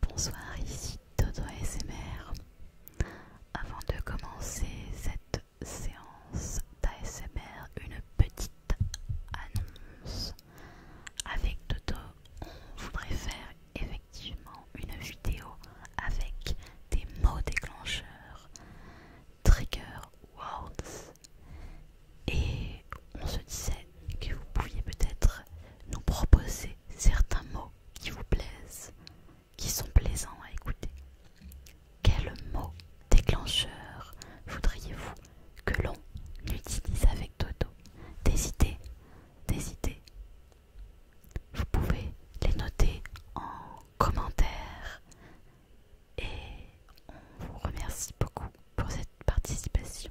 Bonsoir, ici Toto ASMR. Avant de commencer cette séance d'ASMR, une petite annonce. Avec Toto, on voudrait faire effectivement une vidéo avec des mots déclencheurs, trigger words, et on se disait que vous pouviez peut-être nous proposer certains mots qui vous plaisent, qui sont plaisants à écouter. Quels mots déclencheurs voudriez-vous que l'on utilise avec Dodo Des idées, des idées. Vous pouvez les noter en commentaire et on vous remercie beaucoup pour cette participation.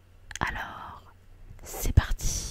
Alors, c'est parti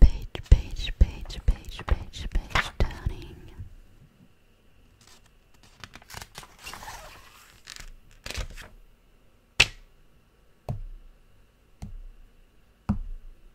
Page, page, page, page, page, page turning.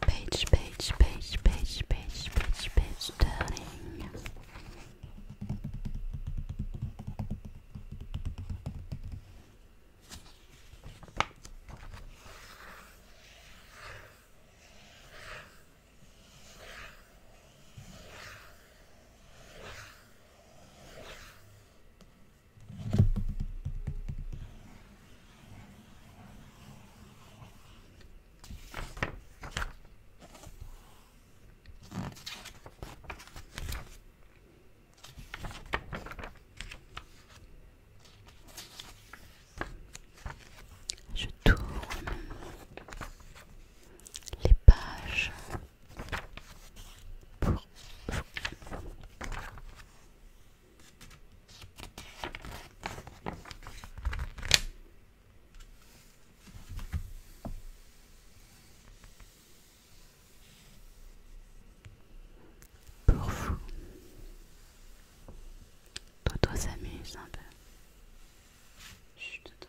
Page, page, page, page, page, page, page turning. Je tourne les pages pour pour vous, Toto s'amuse un peu. Chut, Toto.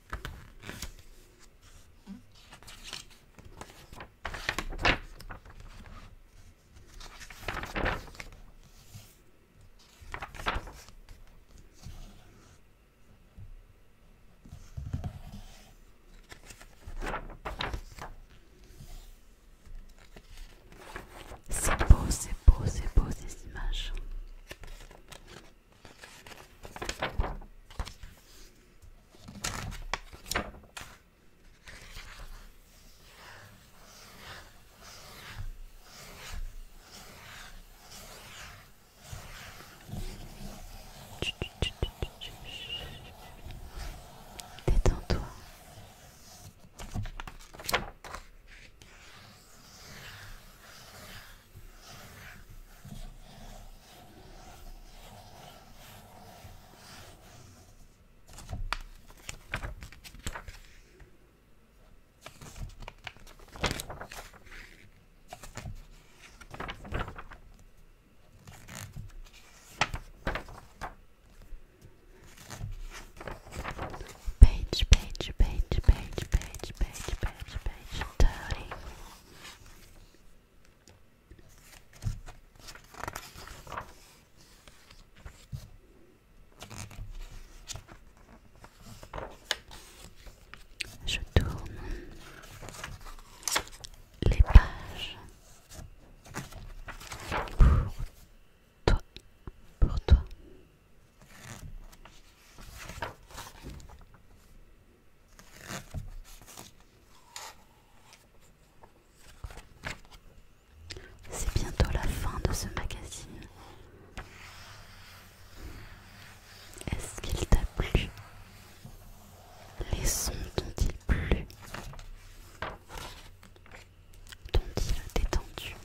C'est beau, c'est beau, c'est beau ces images. Détends-toi. Page, page, page, page, page, page, page, thirty. Je tourne les pages pour toi, pour toi, c'est bientôt la fin de ce magazine. Est-ce qu'il t'a plu Les sons t'ont-ils plu T'ont-ils détendu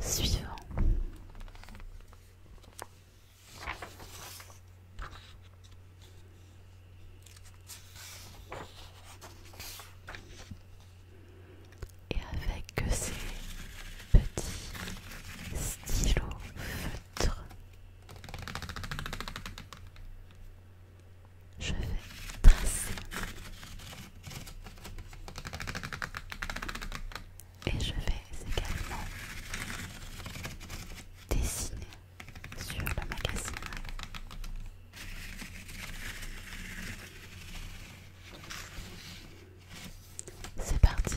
Suivant. Et avec ces petits stylos feutres, je vais tracer et je vais également dessiner sur le magazine. C'est parti.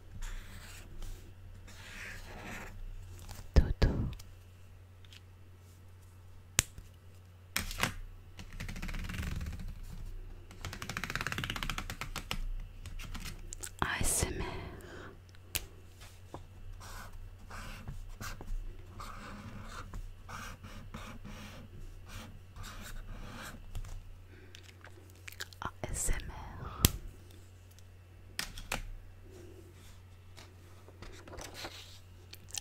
Toto ASMR ASMR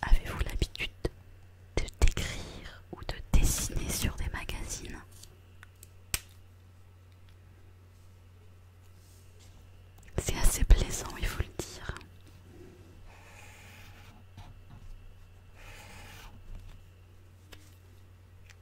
Avez-vous l'habitude de d'écrire ou de dessiner sur des magazines C'est assez plaisant, il faut le dire.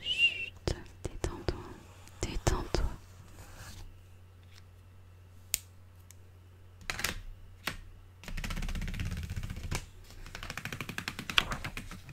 Chut, détends-toi, détends-toi.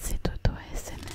C'est au SNR.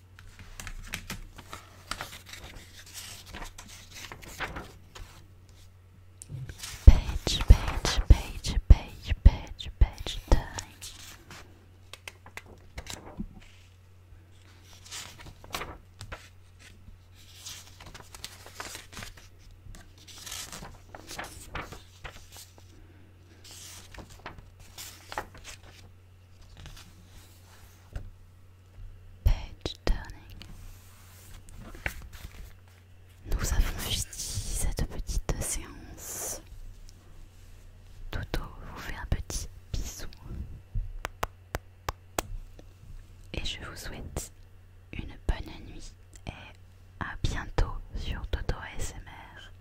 Page, page, page, page, page, page time. Page turning. Nous avons fini cette petite séance. Toto vous fait un petit bisou. Et je vous souhaite une bonne nuit et à bientôt sur Toto ASMR.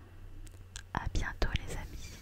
À bientôt les amis.